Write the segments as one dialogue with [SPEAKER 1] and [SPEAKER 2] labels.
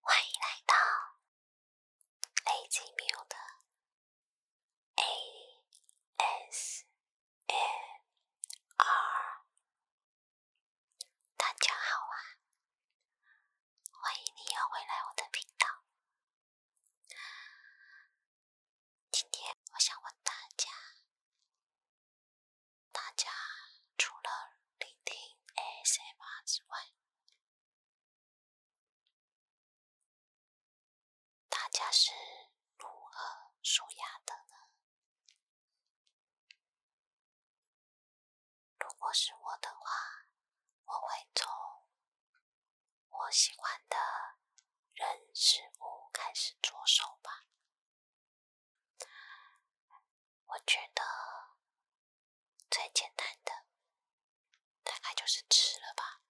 [SPEAKER 1] 欢迎来到雷吉缪的 A S E R，大家好啊！欢迎你又回来我的频道。今天我想问大家，大家除了聆听 ASMR 之外，大家是如何舒牙的呢？如果是我的话，我会从我喜欢的人事物开始着手吧。我觉得最简单的大概就是吃了吧。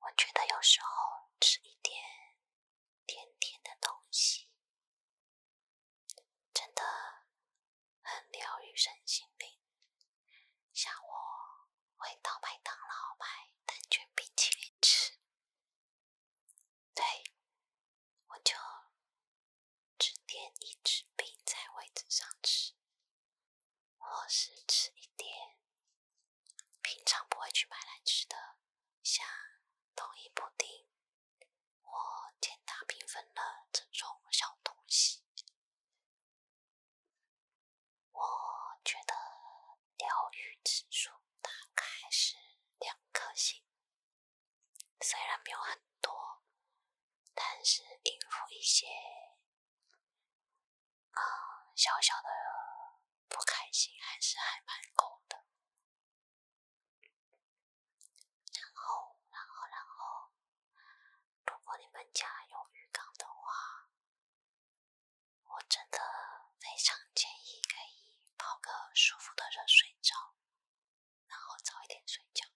[SPEAKER 1] 我觉得有时候吃一点甜甜的东西。真的很疗愈身心灵，像我会到麦当劳买蛋卷冰淇淋吃，对，我就只点一直冰在位置上吃，或是吃一点平常不会去买来吃的，像冬一布丁。我简单平分了这种小东西，我觉得疗愈指数大概是两颗星。虽然没有很多，但是应付一些啊小小的不开心还是还蛮够的。然后，然后，然后，如果你们家有浴缸的话，我真的非常建议可以泡个舒服的热水澡，然后早一点睡觉。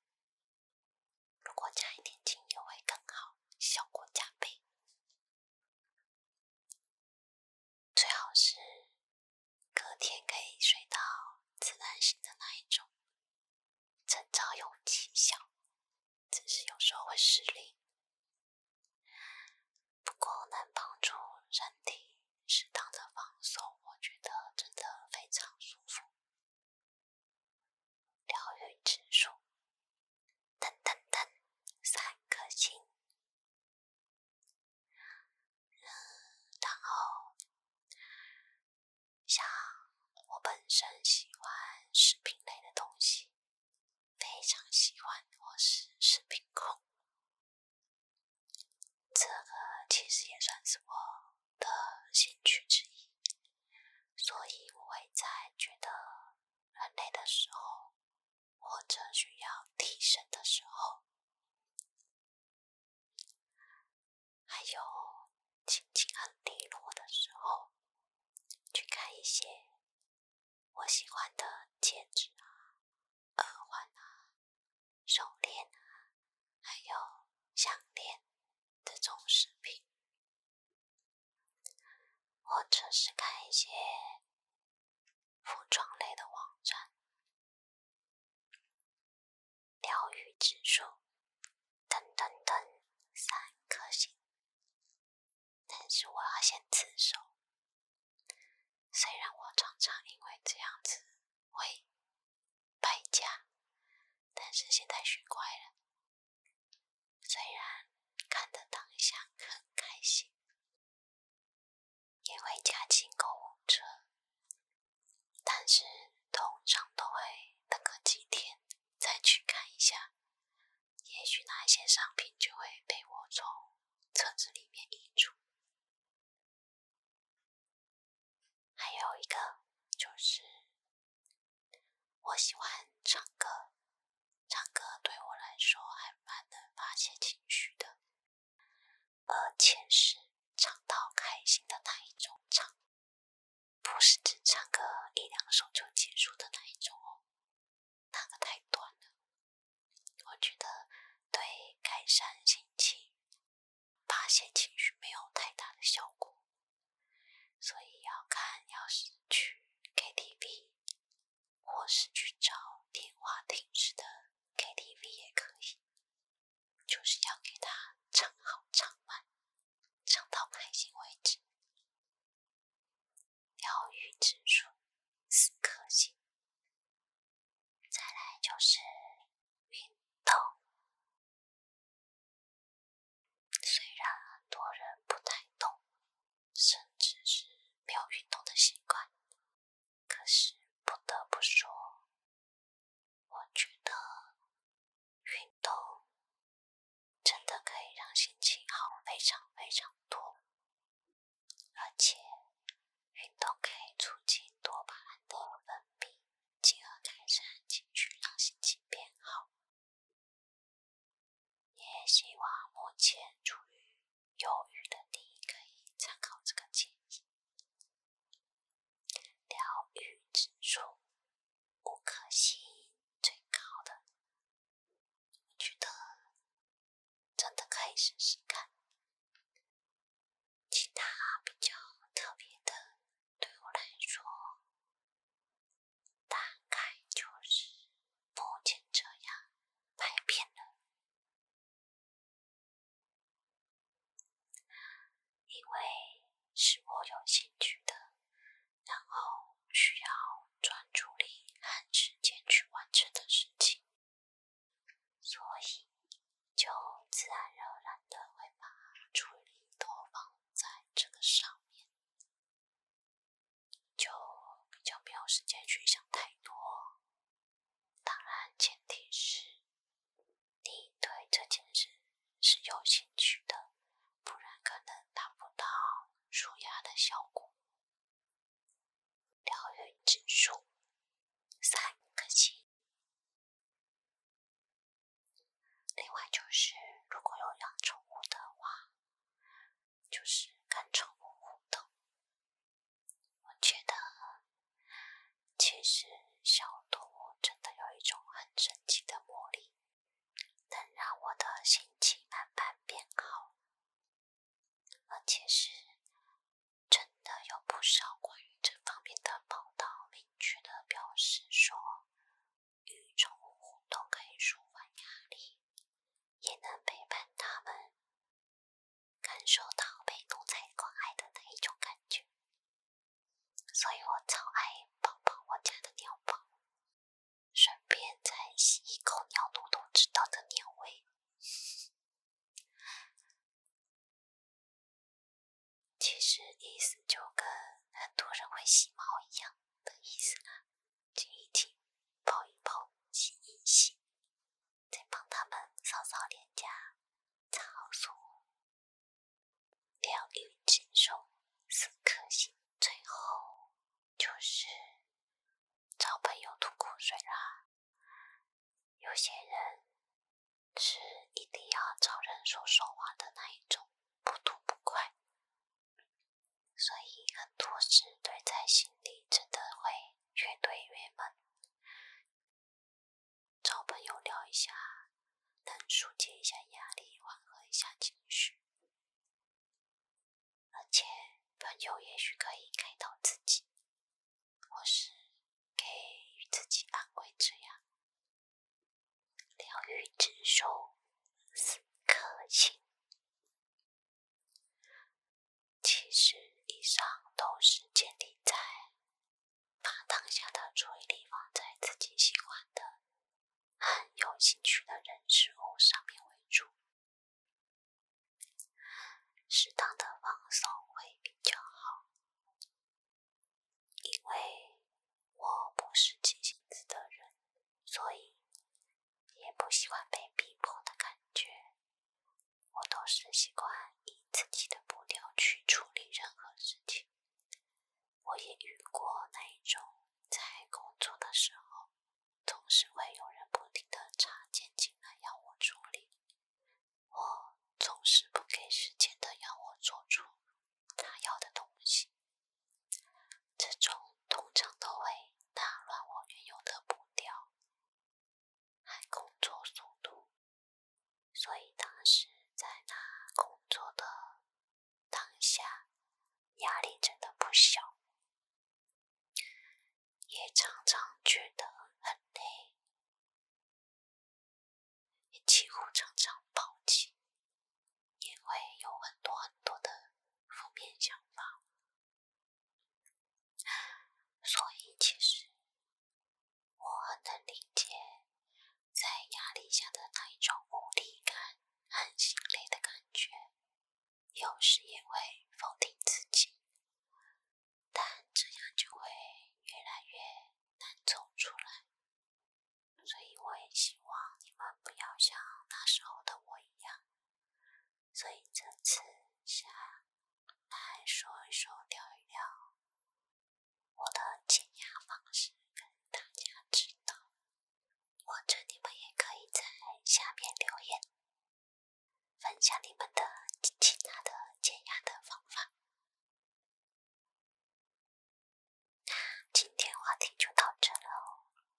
[SPEAKER 1] 如果加一点精油会更好，效果加倍。最好是隔天可以睡到自然醒的那一种，晨早有起效，只是有时候会失灵。不过能帮助人体适当的放松，我觉得真的非常舒服，疗愈指数，噔噔噔，三颗星。然后像我本身喜欢食品类的东西，非常喜欢，我是食品控。这个其实也算是我的兴趣之一，所以我会在觉得人类的时候。或者需要提升的时候，还有心情很低落的时候，去看一些我喜欢的戒指啊、耳环啊、手链啊、还有项链这种饰品，或者是看一些服装类的网站。疗愈指数，噔噔噔，三颗星。但是我要先自首，虽然我常常因为这样子会败家，但是现在学乖了。虽然看的当下很开心。也会加进购物车，但是通常都会等个几天再去看一下，也许那些商品就会被我从车子里面移除。还有一个就是，我喜欢唱歌，唱歌对我来说还蛮能发泄情绪的。而且是唱到开心的那一种唱，不是只唱个一两首就结束的那一种哦，那个太短了。我觉得对改善心情、发泄情绪没有太大的效果，所以要看要是去 KTV。或是去找电话亭式的 KTV 也可以，就是要给他唱好唱满，唱到开心为止。疗愈指数四颗星。再来就是运动，虽然很多人不太动，甚至是没有运动的习惯。可是不得不说，我觉得运动真的可以让心情好非常非常多，而且运动可以促进多巴胺的分泌，进而改善情绪，让心情变好。也希望目前处于犹豫的你可以参考这个建议，疗愈指数五颗星，最高的，我觉得真的可以试试看。其他比较特别的，对我来说，大概就是目前这样百变的。因为是我有兴趣的，然后需要专注力和时间去完成的事情，所以就自然而然的会把注意力都放在这个上面，就比较没有时间去想太多。当然，前提是你对这件事是有兴趣的，不然可能达不到舒压的效果。疗愈指数三颗星。另外，就是如果有养宠物的话。就是看宠物互动，我觉得其实小动物真的有一种很神奇的魔力，能让我的心情慢慢变好。而且是真的有不少关于这方面的报道，明确的表示说与宠物互动可以舒缓压力，也能陪伴他们。感受到被奴才关爱的那一种感觉，所以我超爱抱抱我家的鸟宝，顺便再吸一口鸟奴都知道的鸟味。其实意思就跟很多人会洗毛一样的意思，亲一亲，抱一抱，吸一吸。再帮他们扫扫脸颊，擦好妆，疗愈结束，四颗星。最后就是找朋友吐苦水啦。有些人是一定要找人说说话的那一种，不吐不快。所以，很多事堆在心里，真的会越堆越闷。找朋友聊一下，能疏解一下压力，缓和一下情绪。而且，朋友也许可以开导自己，或是给予自己安慰，这样疗愈之手，四刻心。其实以上都是建立在把当下的注意力放在自己喜欢的、很有兴趣的人事物上面为主，适当的放松会比较好。因为我不是急性子的人，所以。也不喜欢被逼迫的感觉，我都是习惯以自己的步调去处理任何事情。我也遇过那一种，在工作的时候，总是会有人不停的插进进来要我处理，我总是不给时间的要我做出他要的东西，这种通常都会打乱我原有的步调。还工作速度，所以当时在那工作的当下，压力真的不小，也常常觉得很累，也几乎常常暴起，因为有很多很多的负面想法。所以，其实我很能理解在压力下的那一种无力感、很心累的感觉。有时也会否定自己，但这样就会越来越难走出来。所以，我也希望你们不要像那时候的我一样。所以这次想来说一说、聊一聊我的减压方式，跟大家知道。或者你们也可以在下面留言，分享你们的其他的减压的方法。那今天话题就到这了哦。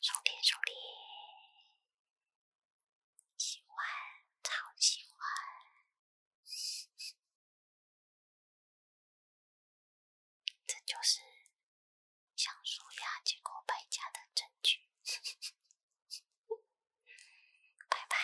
[SPEAKER 1] 兄弟兄弟喜欢超喜欢这就是像书雅结果败家的证据拜拜